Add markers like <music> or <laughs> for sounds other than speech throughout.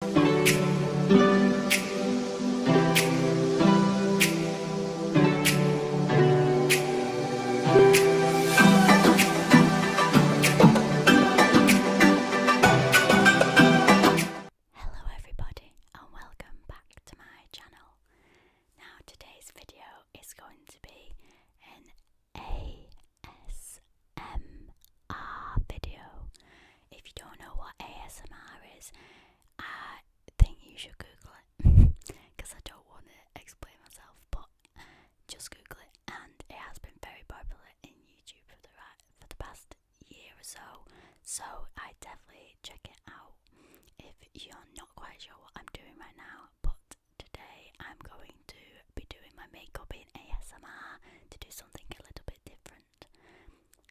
Hello everybody and welcome back to my channel. Now today's video is going to be in AS. ASMR video. If you don't know what ASMR is, I think you should Google it because <laughs> I don't want to explain myself, but just Google it. And it has been very popular in YouTube for the for the past year or so. So I definitely check it out if you're not quite sure what I'm doing right now. But today I'm going to be doing my makeup in ASMR to do something a little bit different.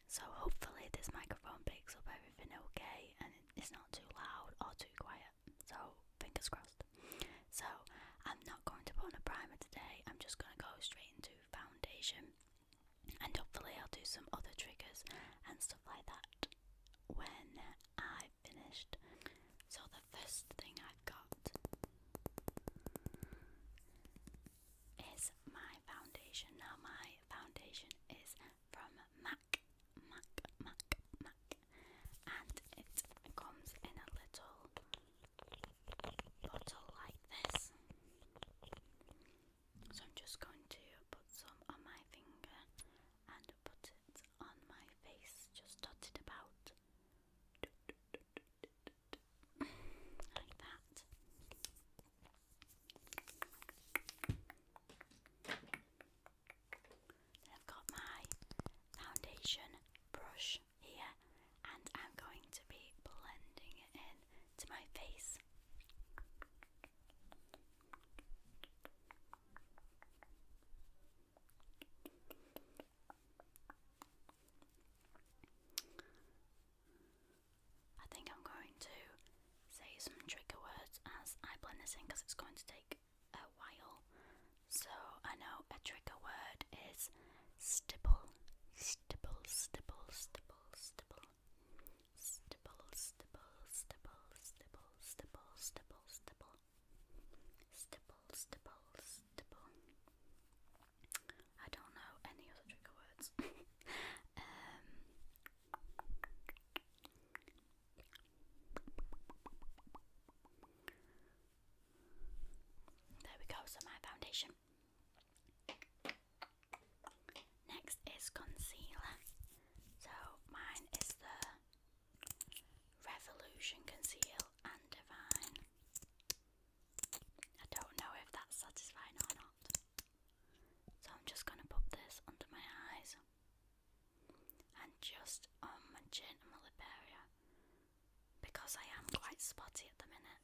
So hopefully this microphone picks up everything okay and it's not too loud or too quiet. So fingers crossed. So I'm not going to put on a primer today. I'm just going to go straight into foundation. And hopefully I'll do some other triggers and stuff like that when I've finished. So the first thing I've got is my foundation. Now my foundation is from MAC, MAC, MAC, MAC, and it comes in a little bottle like this. So I'm just going to put some on my finger and put it on my face, just dotted about like that. Then I've got my foundation brush here, and I'm going to be blending it in to my face. I think I'm going to say some trigger words as I blend this in because it's going to take a while. So I know a trigger word is stipple, stipple, stipple, stipple, stipple, stipple, stipple, stipple, stipple, stipple, stipple, stipple, stipple, stipple, stipple. I don't know any other trigger words. <laughs> Um, there we go, so my foundation. Next is concealer. So mine is the Revolution Conceal and Divine. I don't know if that's satisfying or not. So I'm just going to put this under my eyes and just on um, my chin and my lip area because I am quite spotty at the minute,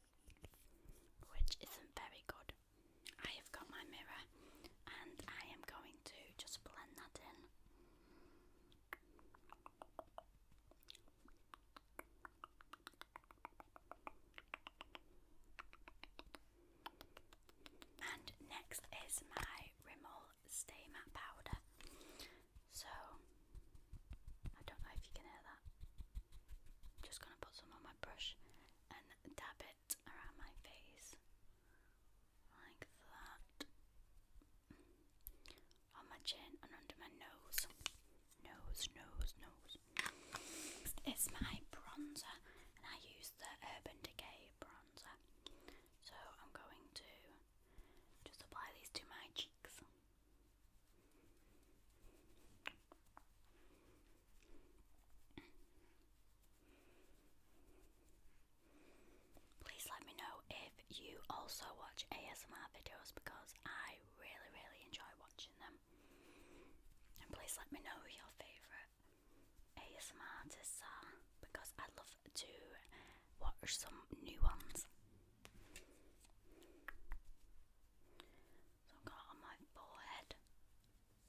which isn't very good. I have got my mirror and I am going to just blend that in. And next is my Rimmel Stay Matte Powder. So, I don't know if you can hear that. just going to put some on my brush and dab it around my face like that on my chin and under my nose. Nose, nose, nose. It's my bronzer, and I use the Urban Decay bronzer. So I'm going to just apply these to my cheeks. Please let me know if you also watch ASMR videos because I really, really enjoy watching them. And please let me know your favourite ASMR artist are because I love to watch some new ones. So I've got on my forehead,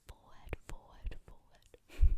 forehead, forehead, forehead. <laughs>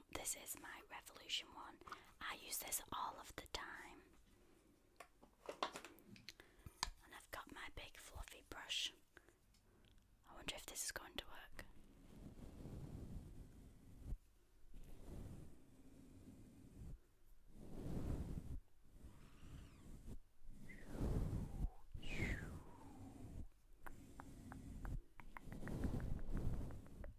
Oh, this is my Revolution one. I use this all of the time. And I've got my big fluffy brush. I wonder if this is going to work.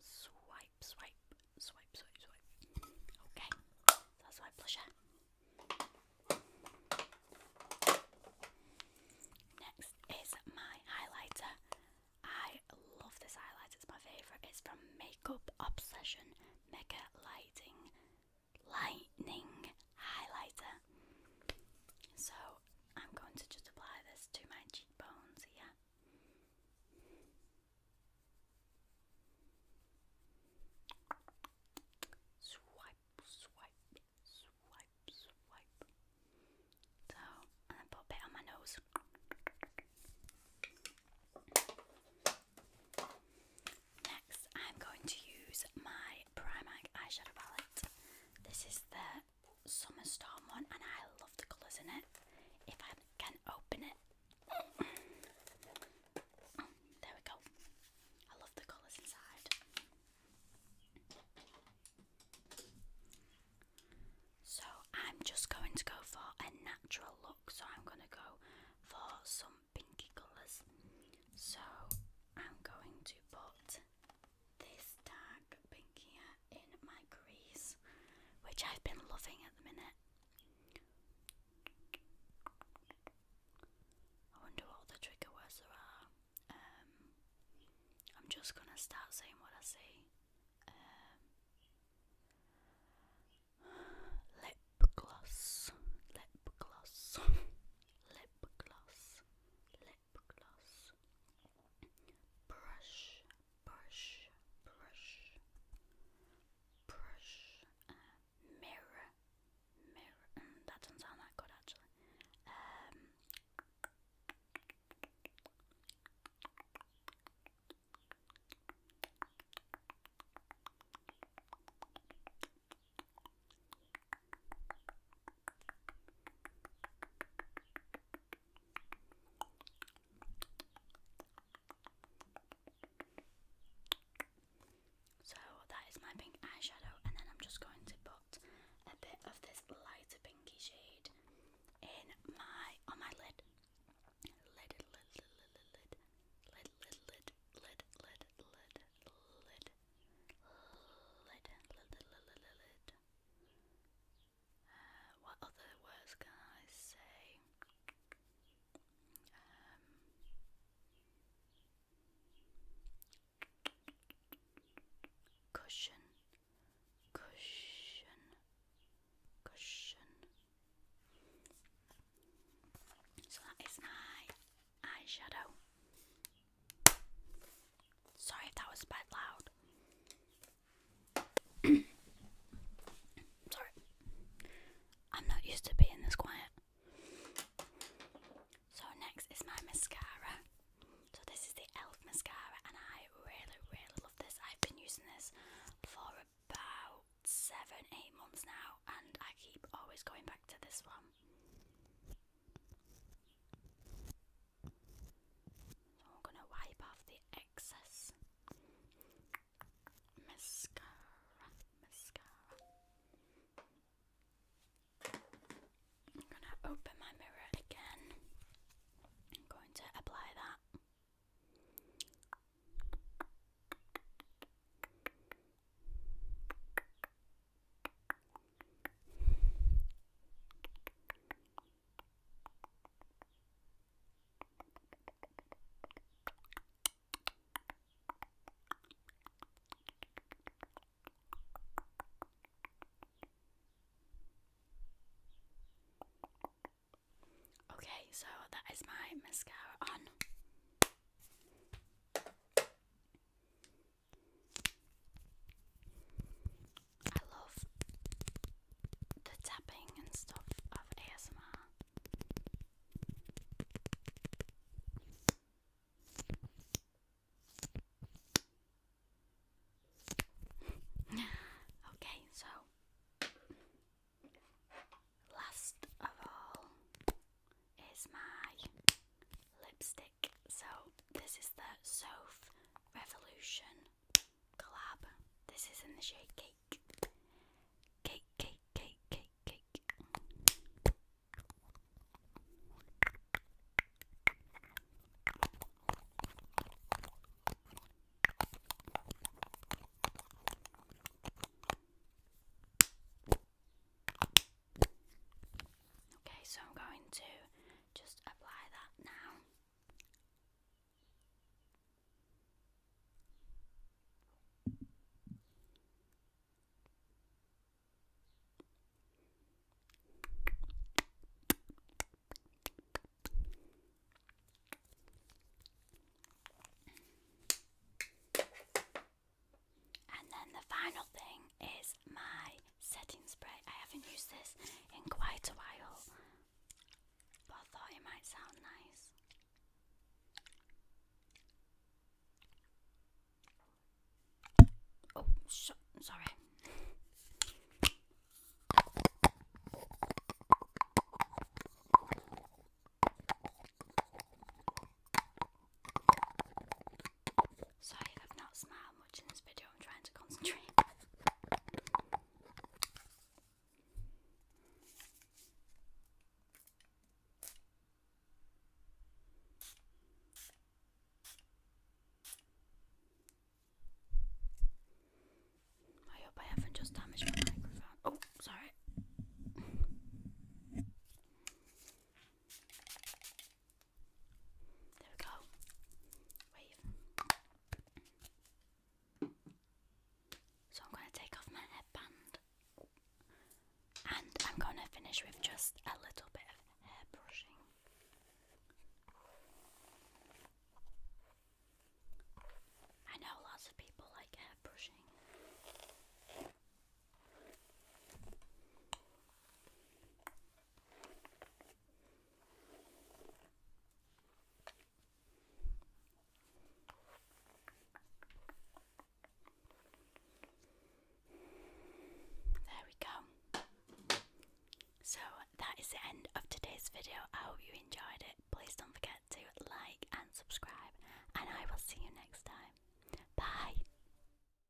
swipe, swipe, swipe, swipe, swipe. Okay, so that's my plushie. Next is my highlighter. I love this highlighter, it's my favourite. It's from Makeup Obsession Mega Lighting Lightning Highlighter. So I'm going to just apply this to my cheekbones here. Swipe, swipe, swipe, swipe. So, and then pop it on my nose. Next, I'm going to use my Primark eyeshadow palette. This is the Summer Storm one, and I love the colours in it can open it. <clears throat> there we go. I love the colours inside. So I'm just going to go for a natural look. So I'm going to go for some pinky colours. So I'm going to put this dark pink here in my grease, which I've been loving at the minute. I wonder what the trigger words are. Um, I'm just gonna start saying what I see. Um, lip gloss, lip gloss, lip gloss, lip gloss, brush, brush, brush, brush, uh, mirror, mirror. Mm, that doesn't sound that good actually. Um, so that is my pink eyeshadow, and then I'm just going to put a bit of this lighter pinky shade in my on my lid. Lid, lid, lid, lid, lid, lid, lid, lid, lid, lid, lid, lid, lid, lid, lid, what other words can I say? Um, cushion, cushion, cushion. So that is my eyeshadow. Sorry if that was bad loud. Sorry. I'm not used to being this quiet. So, next is my mascara. So, this is the e.l.f. mascara, and I really, really love this. I've been using this for about seven, eight months now, and I keep always going back to this one. I'm going to wipe off the excess Mascara. I'm going to open my mirror again. I'm going to apply that. Okay, so that is my mascara on. I love the tapping and stuff of ASMR. <laughs> okay, so last of all is my lipstick classic. So this is the Soph Revolution collab. This is in the shade cake. Cake, cake, cake, cake, cake. Okay, so I'm going to just apply that now. And then the final thing is my setting spray. I haven't used this in quite a while, but I thought it might sound nice. Oh, sorry. Sorry if I've not smiled much in this video, I'm trying to concentrate. I hope I haven't just damaged my microphone. Oh, sorry. There we go. So I'm going to take off my headband and I'm going to finish with just a little bit of hair brushing. I know lots of people like hair brushing. There we go. So that is the end of today's video. I hope you enjoyed it. Please don't forget to like and subscribe, and I will see you next time. Bye.